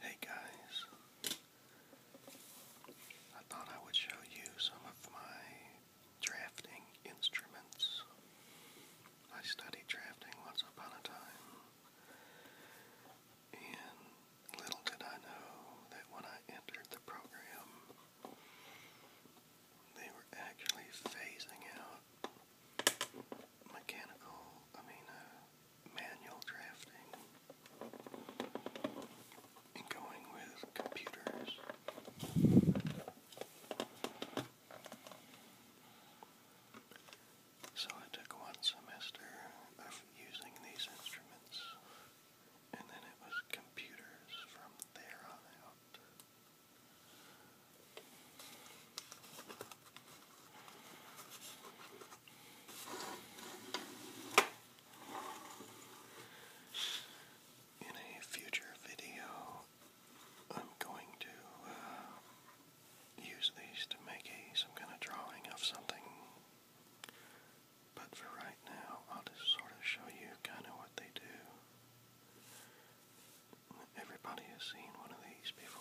Hey guys, I thought I would show you some of my drafting instruments. I studied drafting once upon a time, and little did I know that when I entered the program, they were actually phasing out mechanical, I mean, uh, manual drafting and going with computers. So I took one semester of using these instruments, and then it was computers from there on out. In a future video, I'm going to uh, use these to make some kind of drawing of something. But for right now, I'll just sort of show you kind of what they do. Everybody has seen one of these before.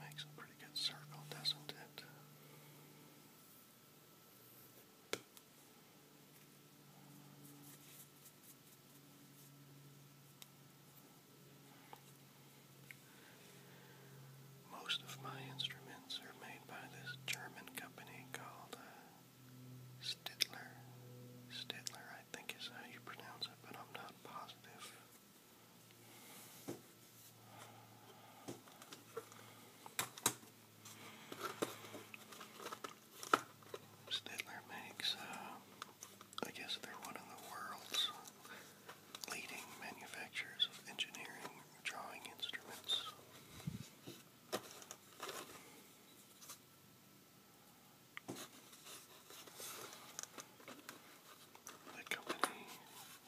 Makes a pretty good circle, doesn't it? Most of my instruments are made by this German company called uh, Stidler. Stidler, I think is how you pronounce it, but I'm not positive. Stedler makes, uh, I guess they're one of the world's leading manufacturers of engineering drawing instruments. The company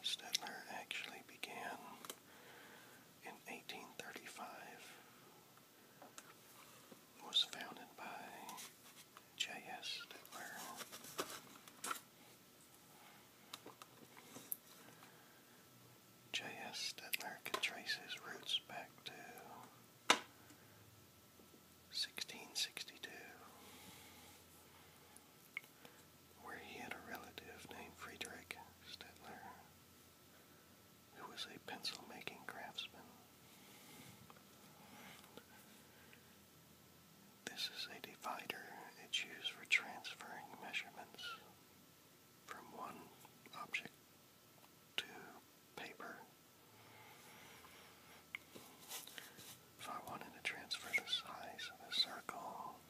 Stettler actually began in 1835. was founded by J.S. Stettler. J.S. Stettler can trace his roots back to 1662 where he had a relative named Friedrich Stetler, who was a pencil-making craftsman. This is a divider it's used for transferring measurements from one object to paper. If I wanted to transfer the size of the circle,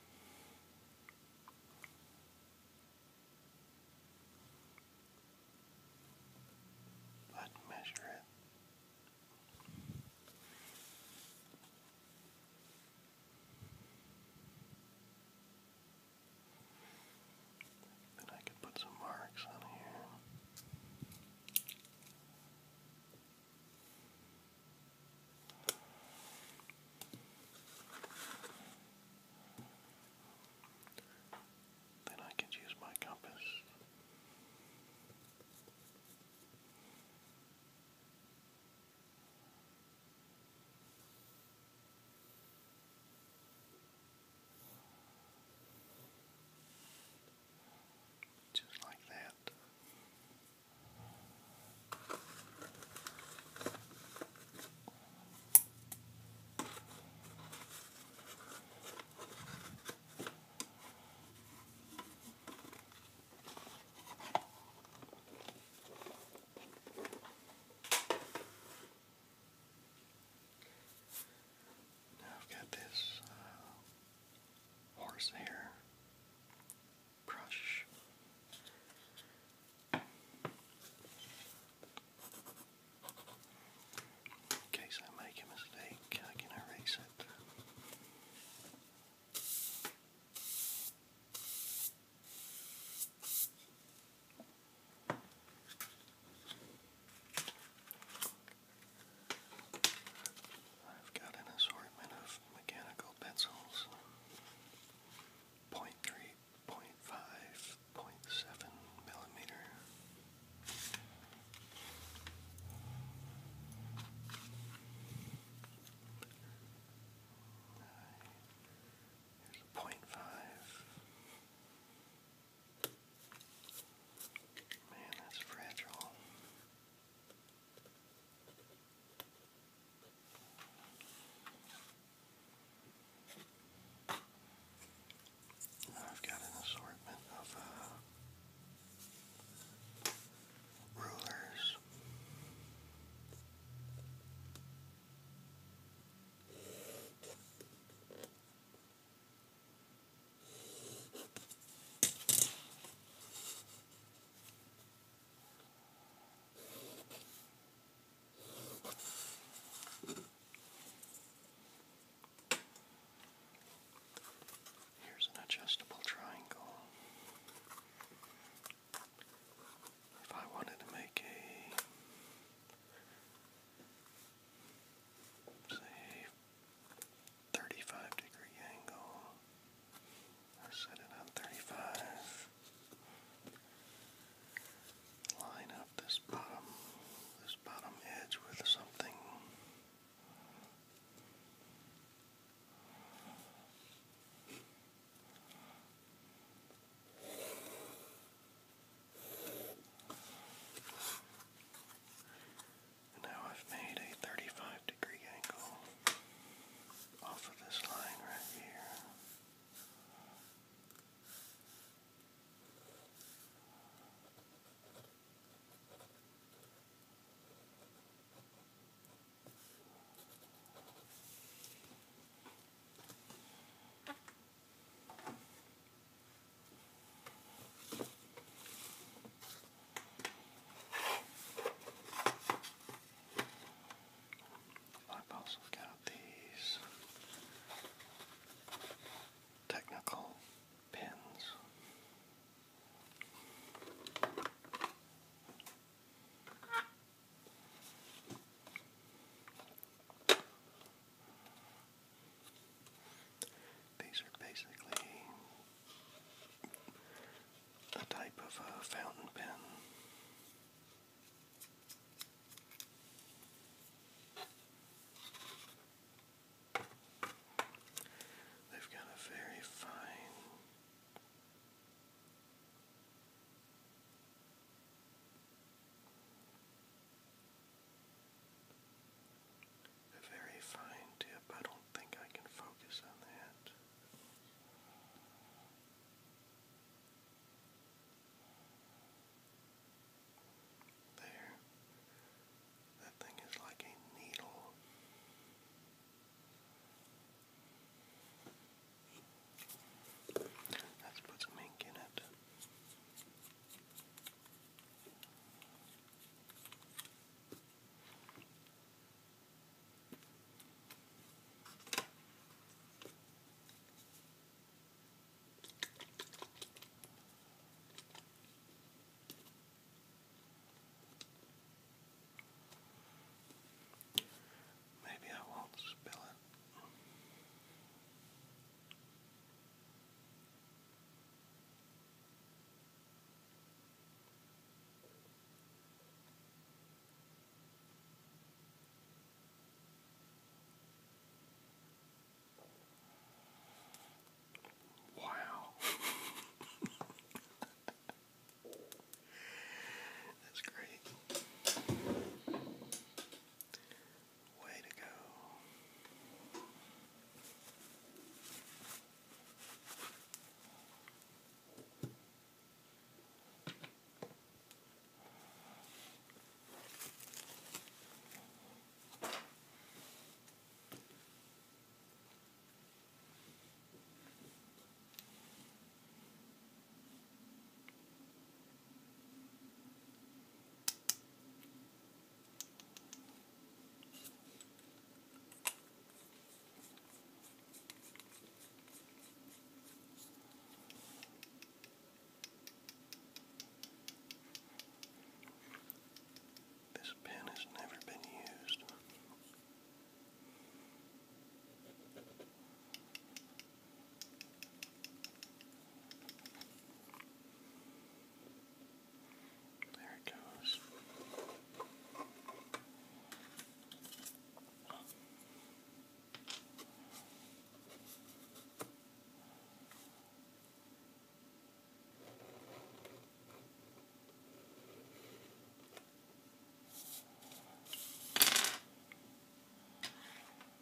i measure it. Then I could put some marks on here. Then I could use my compass. Just like that. Now I've got this uh, horsehair brush. In case I make a mistake, I can erase it. I've got an assortment of mechanical pencils. 0.3, 0.5, 0.7 millimeter. Here's a point five. Man, that's fragile. And I've got an assortment of uh, rulers. Here's an adjustable triangle. If I wanted to make a say 35 degree angle. set it on 35. Line up this bottom, this bottom edge with something now I've made a 35 degree angle off of this line right here. I've also got these technical pins. These are basically a type of a fountain pen. They've got a very fine a very fine tip. I don't think I can focus on that. There. That thing is like a needle. Let's put some ink in it. Maybe I won't spill it. Wow. That's great. Way to go. This pen has never been used. There it goes.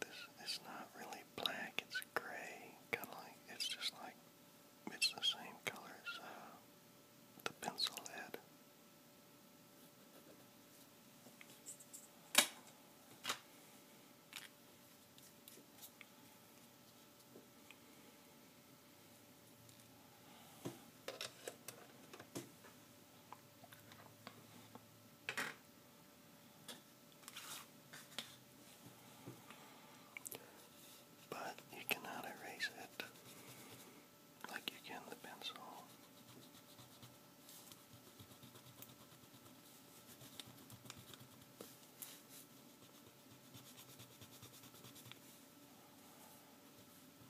This it's not really black, it's gray, kinda like it's just like it's the same color as uh, the pencil head. But you cannot erase it like you can the pencil.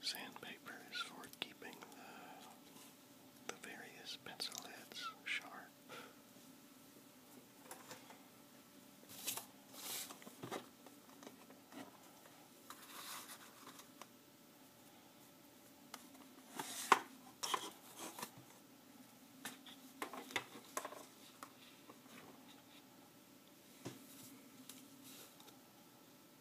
Sandpaper is for keeping the, the various pencil heads sharp.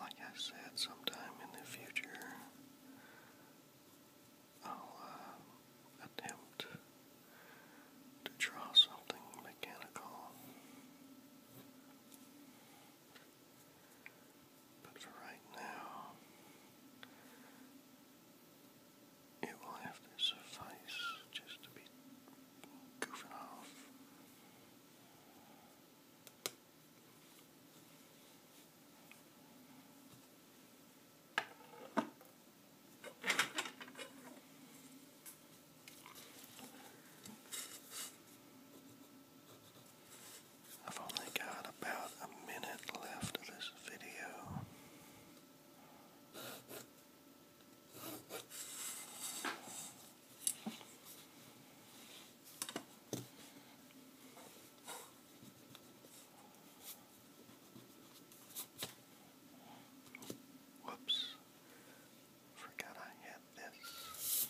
Like I said, sometime in the future, I'll uh, attempt to draw something mechanical. But for right now, it will have to suffice just to be goofing off. I've only got about a minute left of this video. Whoops. Forgot I had this.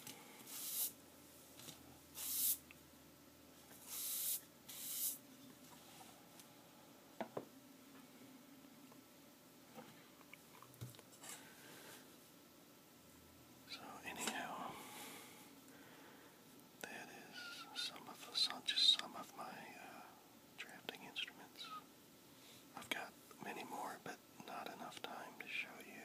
So, anyhow, that is some of just some of my uh, drafting instruments. I've got many more, but not enough time to show you.